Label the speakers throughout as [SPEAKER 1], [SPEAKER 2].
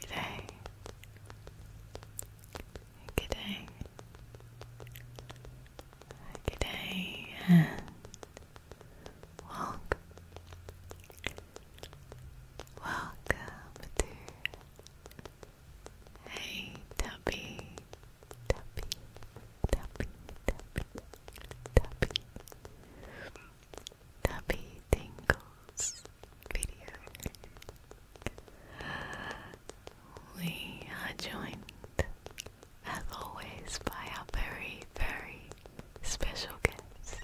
[SPEAKER 1] Good day. Good day. Good day and welcome. Welcome to Hey Tuppy, Tuppy, Tuppy, Tuppy, Tuppy. Tappy Tingles video. We are joined, as always, by our very, very special guest.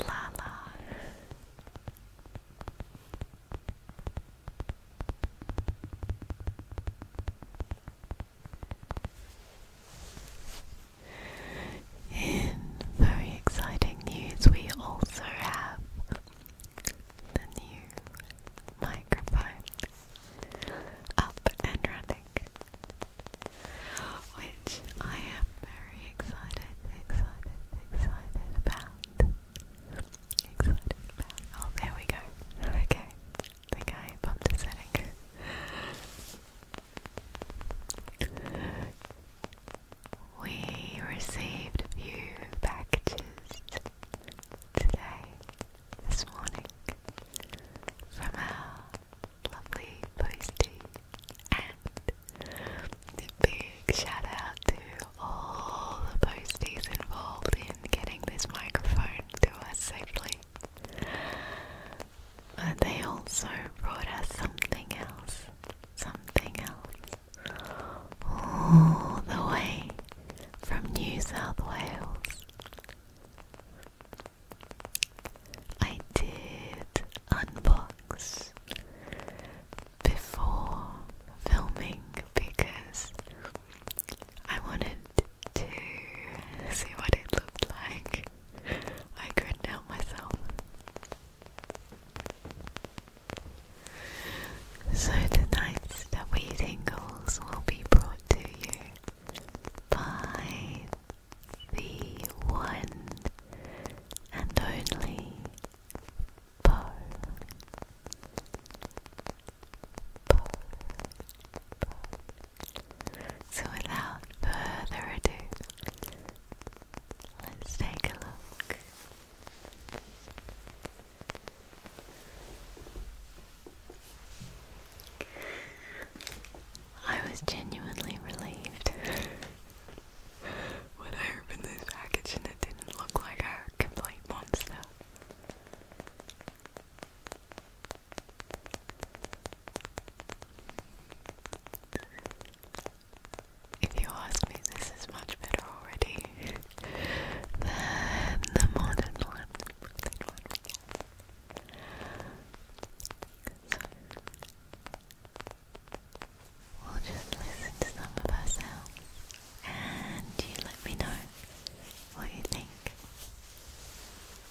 [SPEAKER 1] Lala. In very exciting news, we also have the new microphone up and running, which I am very excited, excited, excited about. Excited about. Oh, there we go. Okay the guy bumped his head. we received a packages today, this morning, from our lovely postie, and big shout to all the posties involved in getting this microphone to us safely. But they also brought us something else, something else, all the way from New South Wales. I did unbox before filming because I wanted to see what it looked like. I couldn't help myself. So the nights tonight's W Tingles will be brought to you by the one and only Bo. So, without further ado, let's take a look. I was genuinely relieved when I opened this package and it didn't look like a complete monster. If you ask me, this is much better already than the modern one. we'll just listen to some of ourselves and you let me know what you think.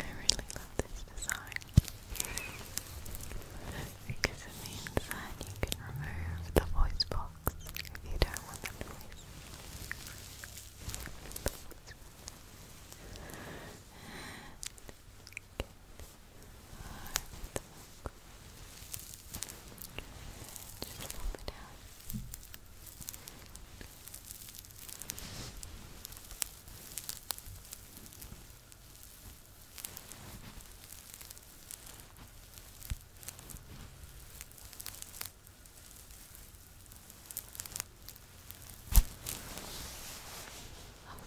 [SPEAKER 1] I really love this design. Because it means that you can remove the voice box if you don't want the noise.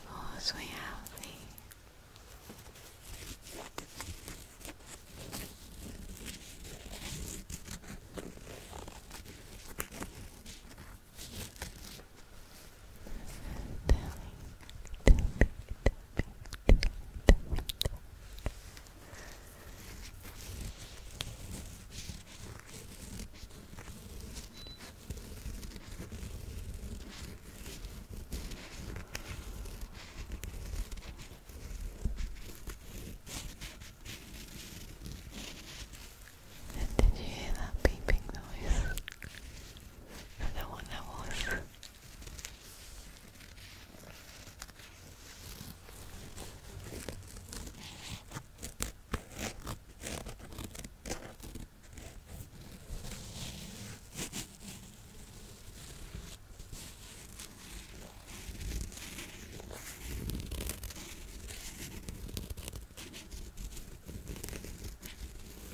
[SPEAKER 1] Of course, we have the Telling, did you hear that beeping noise? That one that one.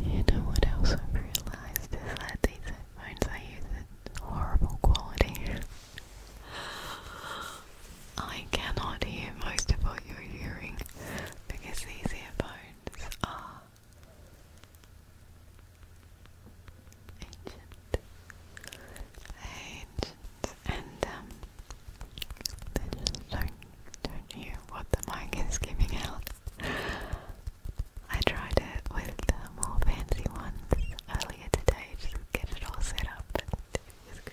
[SPEAKER 1] You know what else I've realized is that these headphones I use in horrible quality. I cannot hear most of what you're hearing because these earphones are ancient. Ancient and um, they just don't, don't hear what the mic is giving out. I tried it with the more fancy one earlier today to get it all set up, and it was good.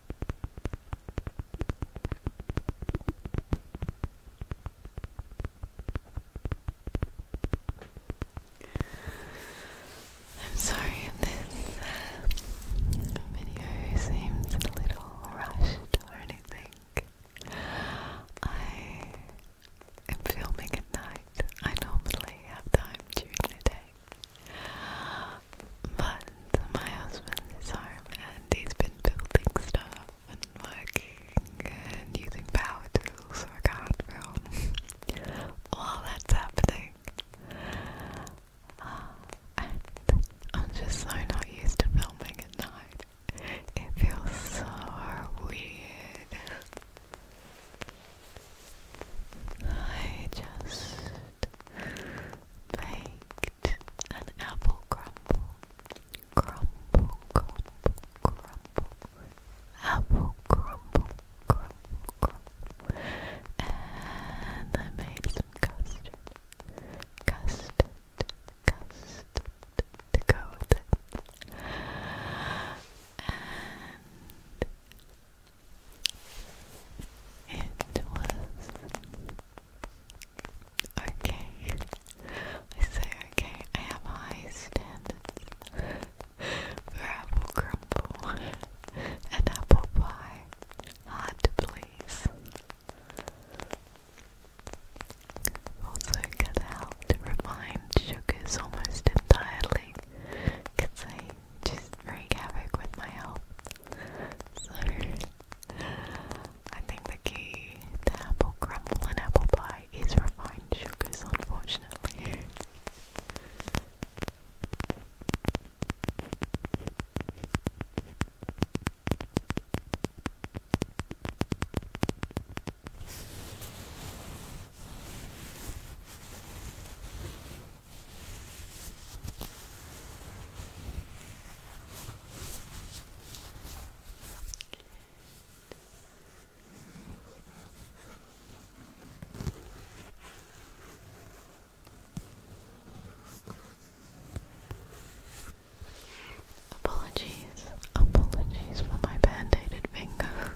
[SPEAKER 1] I'm sorry if this uh, video seems a little rushed or anything. I am filming at night. I normally have time during the day. But my husband is home and he's been building stuff and working and using power tools I can't film while that's happening. Uh, I'm just so not used to filming at night. It feels so weird. I just baked an apple crumble, crumble, crumble, crumble, apple crumble, crumble, crumble, and I made some custard, custard, custard to and it was Okay. I say okay. I have high standards for crumble and apple pie. Hard to please. Also, get out to sugars almost entirely because they just wreak havoc with my health. So, I think the key to apple crumble and apple pie is refined sugars, unfortunately. Apologies, apologies for my band-aided finger.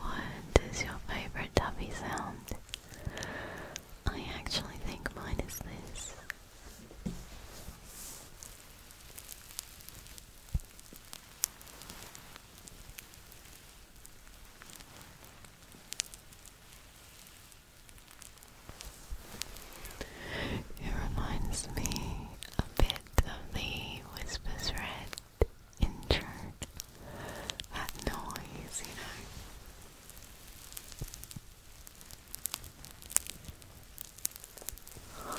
[SPEAKER 1] What is your favorite tappy sound? I actually think mine is this. It reminds me a bit of the Whispers Red intro. That noise, you know.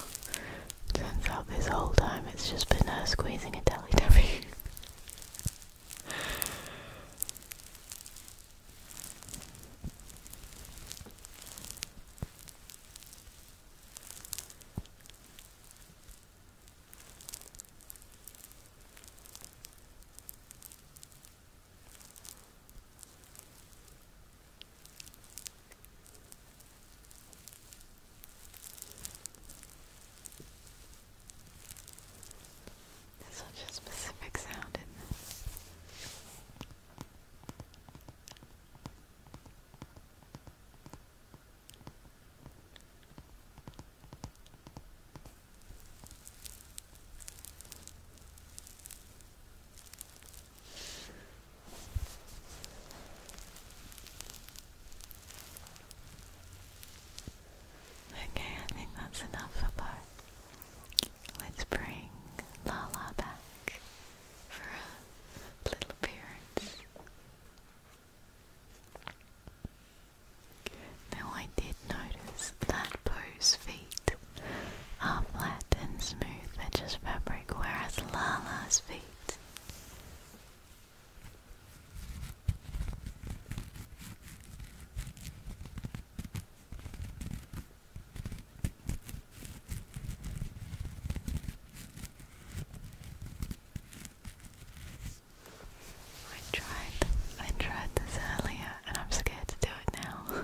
[SPEAKER 1] Turns out this whole time it's just been her squeezing a Teletubby. There's such a specific sound in this. Okay, I think that's enough for part Let's bring Lala back for a little appearance. Now I did notice that Poe's feet are flat and smooth, they just fabric, whereas Lala's feet I tried I tried this earlier and I'm scared to do it now.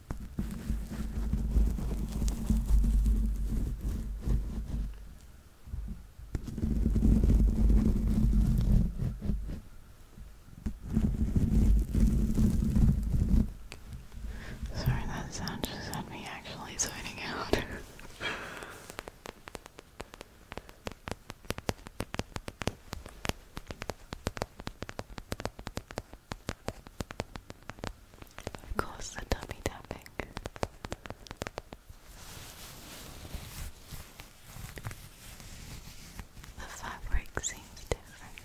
[SPEAKER 1] Sorry, that sound just had me actually zoning out. Of course, the tummy tapping. The fabric seems different.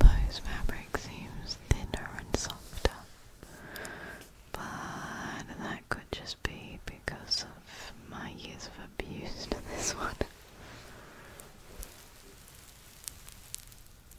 [SPEAKER 1] Bose fabric seems thinner and softer, but that could just be because of my years of abuse to this one.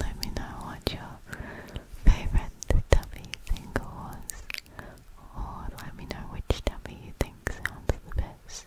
[SPEAKER 1] Let me know what your favorite tummy tingle was, or let me know which Dumpy you think sounds the best.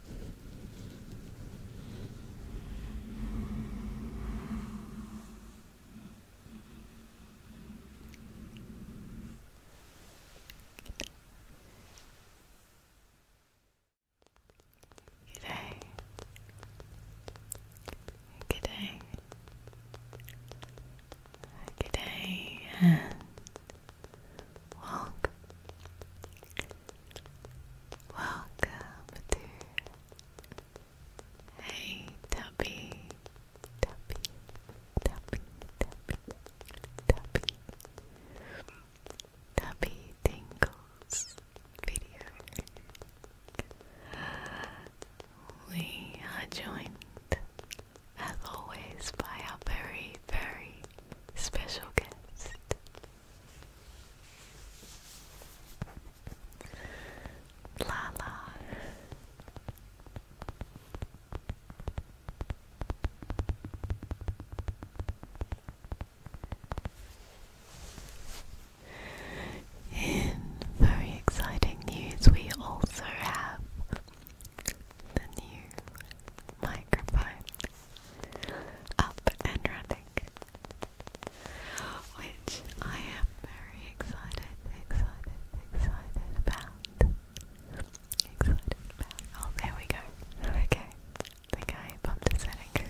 [SPEAKER 1] Good day. Good day. Good day walk. Welcome to Hey Tubby, Tubby, Tubby, Tubby, Tubby, Tubby Tingles video. We are joined, as always, by our very, very special guest. La In very exciting news, we also have the new microphone up and running which I am very excited, excited, excited about. Excited about. Oh, there we go. Okay, I think bumped a setting.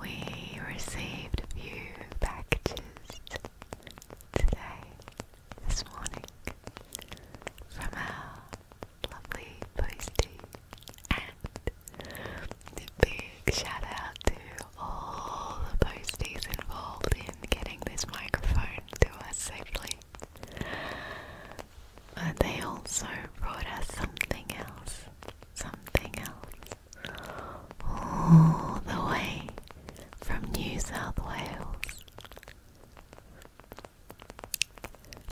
[SPEAKER 1] We received a few packages today this morning from our lovely postie and a big shout out to all the posties involved in getting this microphone to us safely. But they also brought us something else, something else, all the way from New South Wales.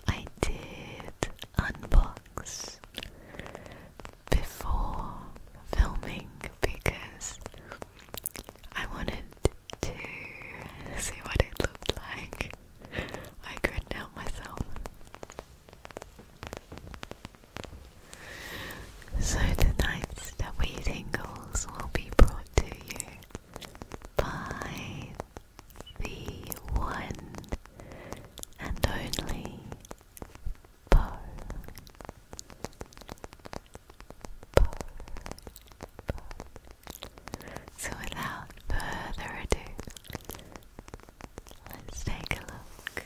[SPEAKER 1] I did unbox before filming because I wanted to see what it looked like. I couldn't myself. So tonight's Stubby Tingles will be brought to you by the one and only So, without further ado, let's take a look.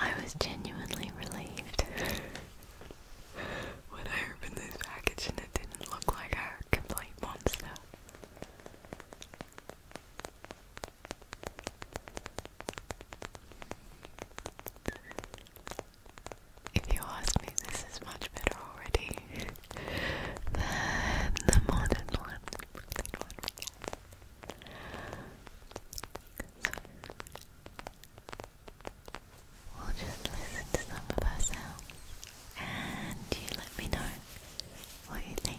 [SPEAKER 1] I was genuinely relieved when I opened this package and it didn't look like a complete monster. If you ask me, this is much better already than the modern one. We'll just listen to some of our and you let me know what you think.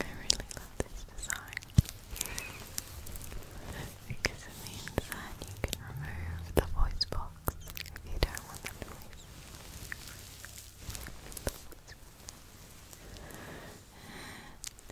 [SPEAKER 1] I really love this design because it means that you can remove the voice box if you don't want the noise.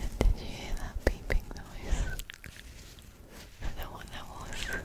[SPEAKER 1] And did you hear that beeping noise? I don't know what that was.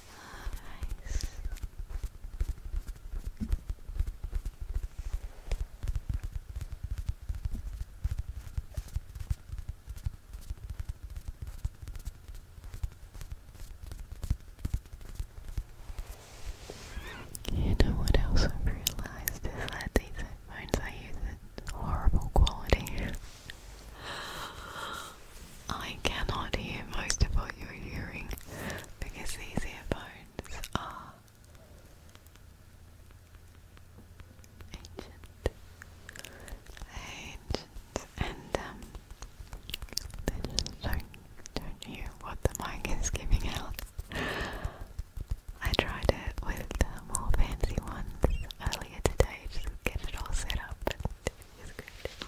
[SPEAKER 1] eyes. You know what else I've realized is that these headphones I use in horrible quality. I cannot hear most of what you're hearing because these earphones are ancient, ancient, and um, they don't, don't hear what the mic is giving out. I tried it with the more fancy ones earlier today, to get it all set up, and it was good.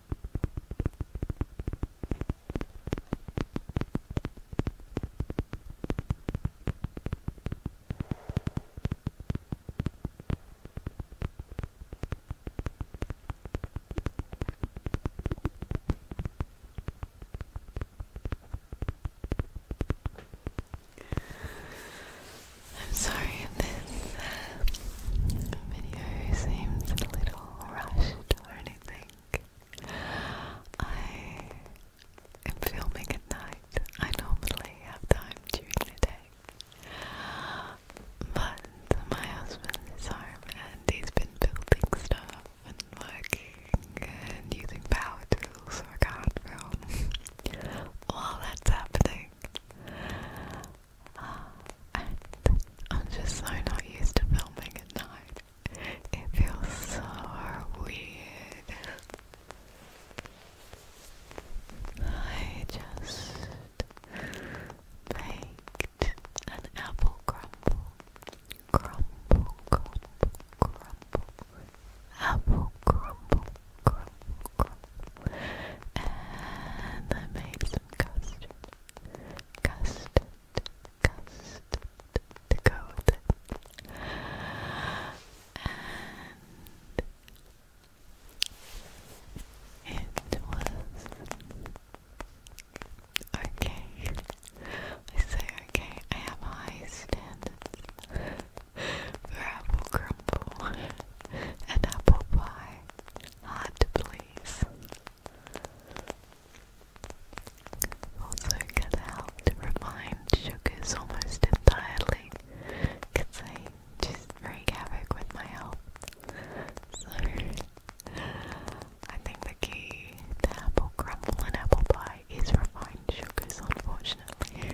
[SPEAKER 1] I'm sorry if this uh, video seems a little rushed or anything. I am filming at night. I normally have time during the day. But my husband is home and he's been building stuff and working and using power tools so I can't film while that's happening. I'm just so not used to filming at night. It feels so weird. I just baked an apple crumble. Crumble, crumble, crumble. Apple crumble, crumble, And I made some custard custard, custard to go it. And was okay. I say okay, I have high standards for crumble and apple pie. Hard to please. Also can help to refine sugars almost entirely because they just wreak havoc with my health. So I think the key to apple crumble and apple pie is refined sugars unfortunately.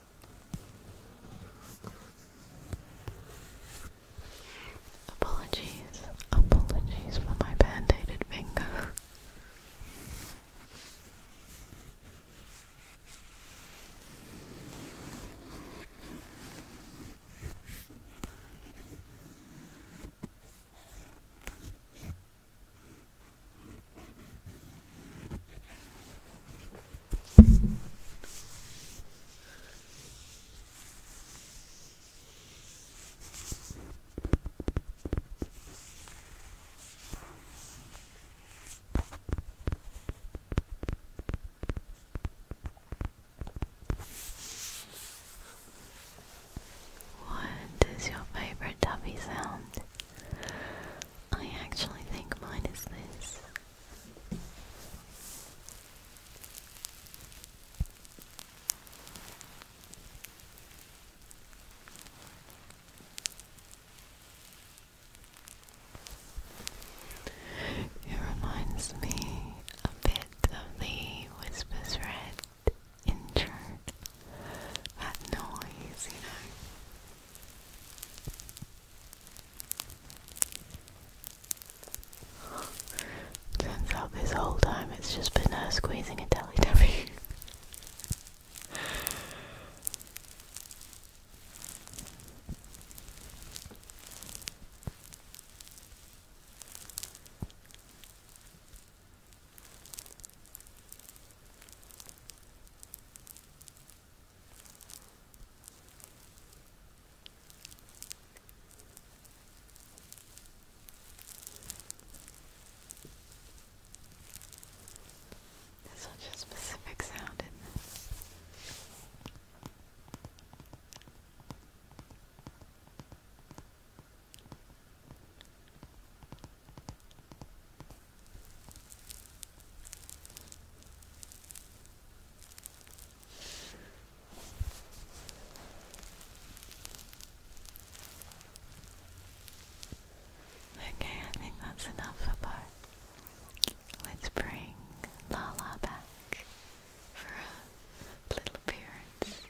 [SPEAKER 1] Apologies, apologies for my band-aided finger. What does your favorite tummy sound? I actually think mine is this. It reminds me a bit of the Whispers Red in church. That noise, you know. Turns out this whole time it's just been her squeezing and Telly Debbie. There's such a specific sound Okay, I think that's enough for Bo. Let's bring Lala back for a little appearance.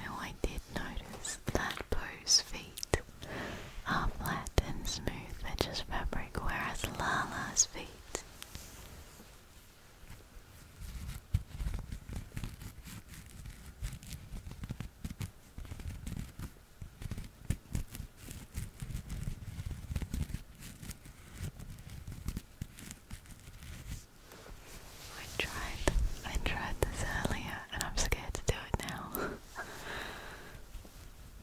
[SPEAKER 1] Now I did notice that Bo's feet are flat and smooth just fabric, whereas Lala's feet I tried I tried this earlier and I'm scared to do it now.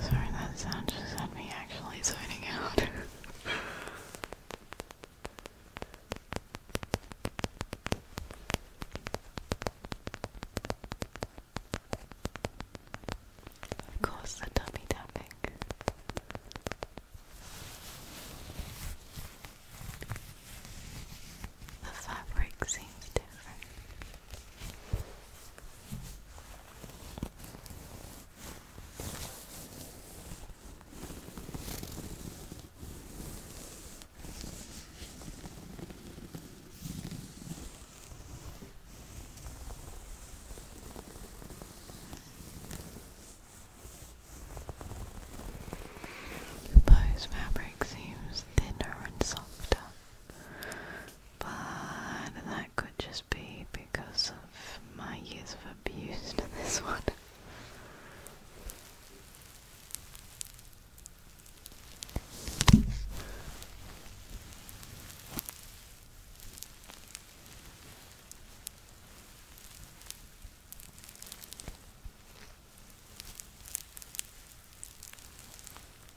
[SPEAKER 1] Sorry, that sound just had me actually zoning out. Of course, the dummy tapping. The fabric seems different. Those fabric seems thinner and softer but that could just be because of my years of abuse to this one.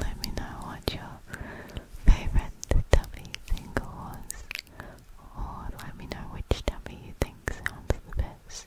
[SPEAKER 1] Let me know what your favorite tummy single was, or let me know which tummy you think sounds the best.